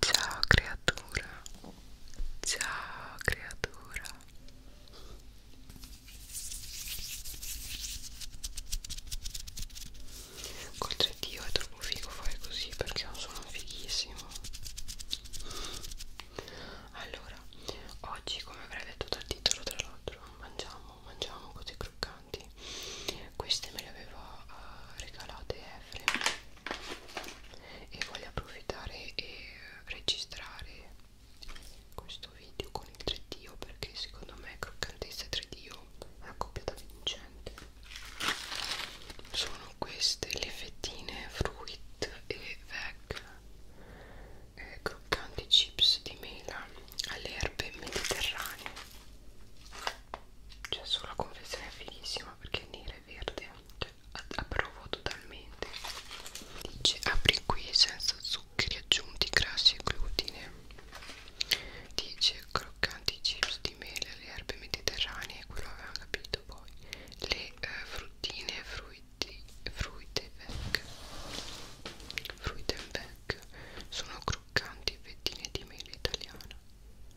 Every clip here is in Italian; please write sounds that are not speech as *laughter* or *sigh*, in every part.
Ciao creatura, ciao creatura. Coltre Dio è troppo figo fare così perché è un suono fighissimo. Allora, oggi come avrei detto dal titolo tra l'altro mangiamo mangiamo cose croccanti queste me le aveva uh, eh, regalate Efrem e voglio approfittare e registrare questo video con il 3D perché secondo me croccantezza e 3D è una coppia vincente sono queste le fettine fruit e veg eh, croccanti chips di mela alle erbe mediterranee cioè solo la confezione è fighissima perché è nera e verde cioè, approvo totalmente dice apri qui senza zuccheri aggiunti grassi e glutine dice croccanti chips di mele alle erbe mediterranee quello avevamo capito poi le eh, fruttine frutti fruite veg fruit and veg snack sono croccanti fettine di mela italiana,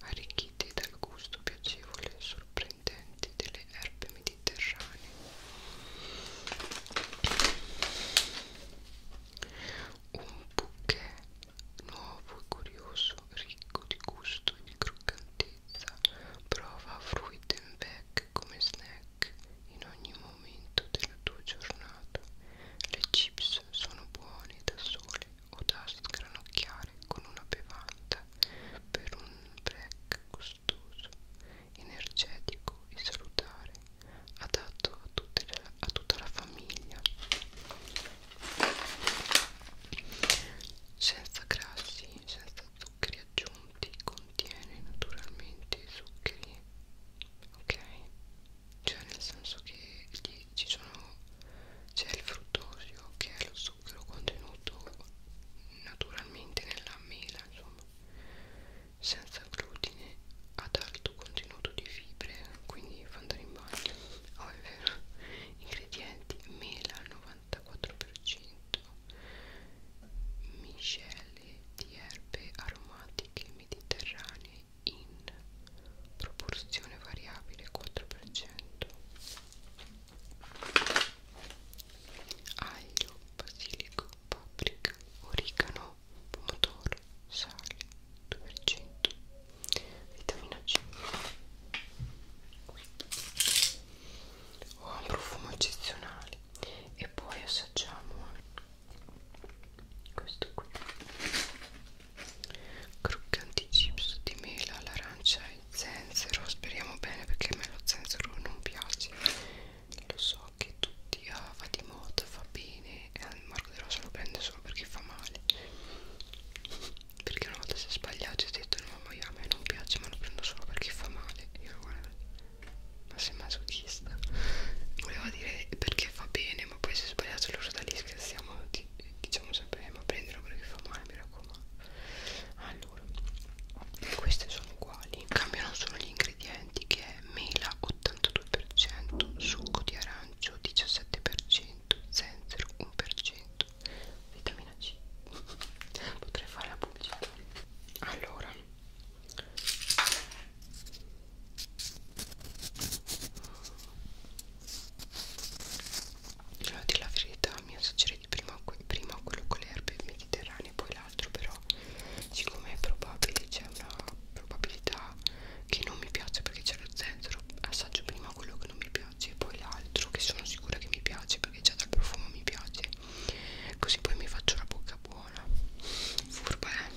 arricchite dal gusto piacevole e sorprendente delle erbe mediterranee. Un bouquet nuovo e curioso, ricco di gusto e di croccantezza, prova Fruitenbeck snack come snack in ogni momento della tua giornata. Le chips sono buone da sole o da sgranocchiare con una bevanda per un break gustoso, energetico e salutare, adatto a, tutte le, a tutta la famiglia. Senza grassi, senza zuccheri aggiunti, contiene naturalmente zuccheri ok cioè nel senso che lì ci sono c'è il fruttosio che è lo zucchero contenuto naturalmente nella mela insomma senza glutine ad alto contenuto di fibre quindi fa andare in bagno oh è vero ingredienti mela al 94% miscele di erbe aromatiche mediterranee in proporzione variabile 4% aglio, basilico, paprika, origano, pomodoro, sale 2% vitamina C ha oh, un profumo eccezionale e poi assaggiamo questo qui croccanti chips di mela all'arancia e zenzero speriamo bene perché a me lo zenzero non piace lo so che tutti ah, va di moda fa bene e al Marco De Rosa lo prende solo perché fa male perché una volta si è sbagliato e ha detto no ma io a me non piace ma lo prendo solo perché fa male io guarda ma sei masochista voleva dire perché fa bene ma poi se sbagliato loro da lì scherziamo di, diciamo sempre eh, ma prendilo perché fa male mi raccomando allora queste sono uguali cambiano solo gli ingredienti che è mela 82% succo di arancio 17% zenzero 1% vitamina c *laughs* potrei fare la pubblicità allora allora di la verità mi assaggerei prima, prima quello con le erbe mediterranee poi l'altro però siccome è probabile c'è una probabilità che non mi piace perché c'è lo zenzero assaggio prima quello che non mi piace e poi l'altro che sono sicura che mi piace perché già dal profumo mi piace ok così poi mi faccio la bocca buona furba eh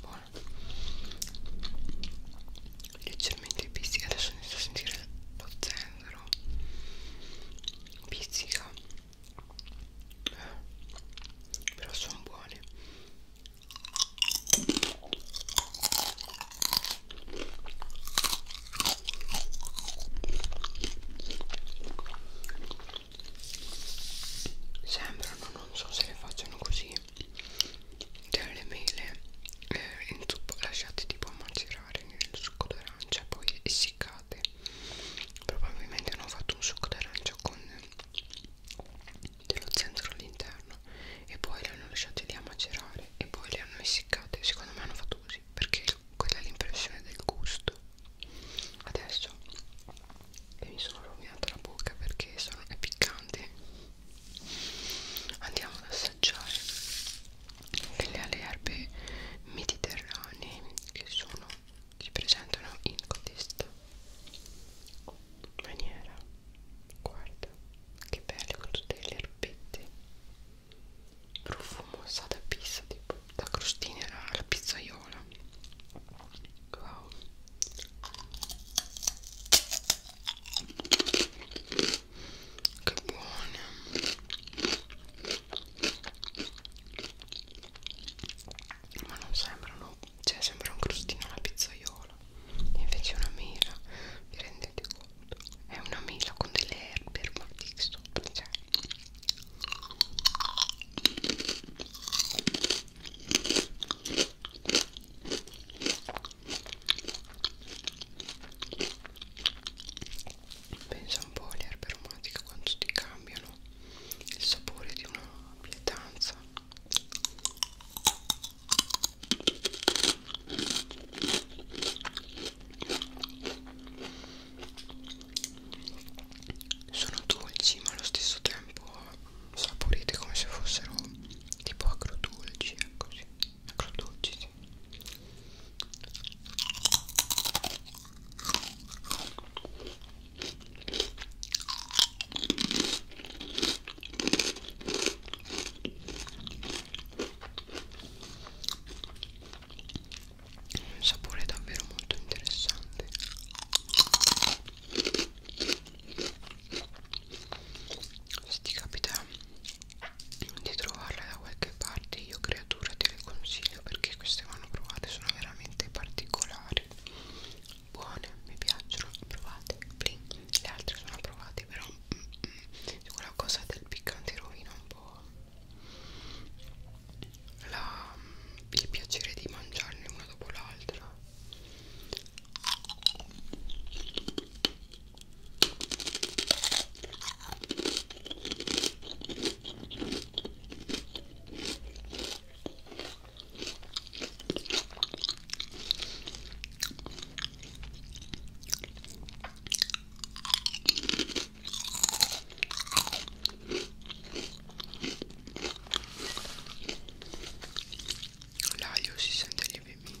buono leggermente pizzica adesso inizio a sentire lo zenzero pizzica eh, però sono buoni sembrano non so se le facciano così delle mele eh, in zucca lasciate tipo macerare nel succo d'arancia poi essiccate probabilmente hanno fatto un succo d'arancia con dello zenzero all'interno e poi le hanno lasciate lì a macerare e poi le hanno essiccate secondo me hanno fatto così perché quella è l'impressione del gusto adesso e mi sono rovinato la bocca perché sono, è piccante andiamo ad assaggiare quelle alle erbe mediterranee che sono si presentano in questa maniera guarda che bello con tutte le erbette profumosa da pizza tipo la crostina la, la pizzaiola wow che buona ma non sembrano cioè sembra un crostino alla pizzaiola invece una mela vi rendete fondo è una mela con delle erbe aromatiche sopra cioè. pensa un po' alle erbe aromatiche quanto ti cambiano il sapore di una pietanza sono dolci ma allo stesso tempo saporite come se fossero tipo agrodolci ecco sì agrodolci sì un sapore davvero molto interessante se ti capita di trovarle da qualche parte io creatura te le consiglio perché queste vanno provate sono veramente particolari buone mi piacciono provate Blink. le altre sono provate però mm, mm, la cosa del piccante rovina un po' la, il piacere di mangiarne una dopo l'altra L'aglio si sente lievemente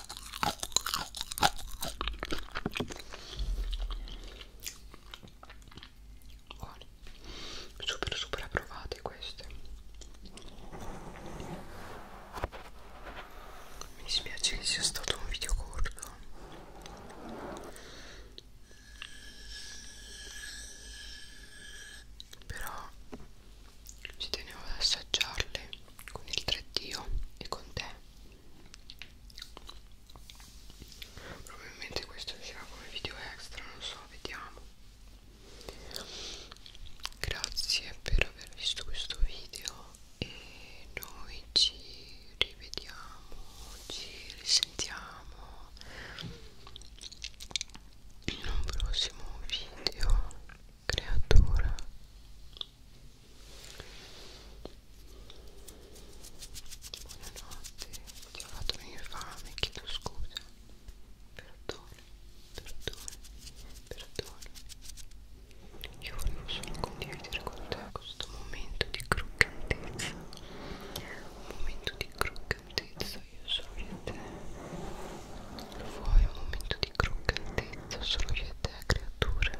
Buone. Super super approvate queste. Mi dispiace che sia stato un video corto. Però ci tenevo ad assaggiarle con il 3D e con te probabilmente questo uscirà come video extra non so vediamo grazie per aver visto questo video e noi ci rivediamo ci risentiamo in un prossimo video creatura buonanotte ti ho fatto venire fame chiedo scusa perdono perdono perdono io volevo solo condividere con te questo momento di croccantezza un momento di croccantezza io solo e te Vuoi un momento di croccantezza solo io e te, creature?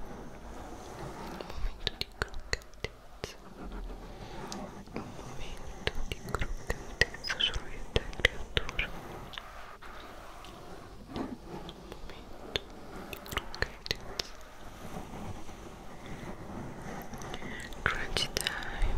Un momento di croccantezza. Un momento di croccantezza solo io e te, creature. Un momento di croccantezza. Crunchy time.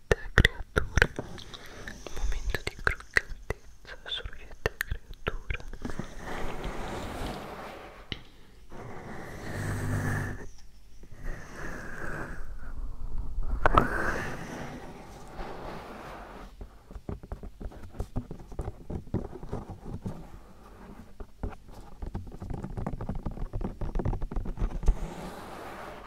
te creatura il momento di croccantezza solo io e te creatura Ecco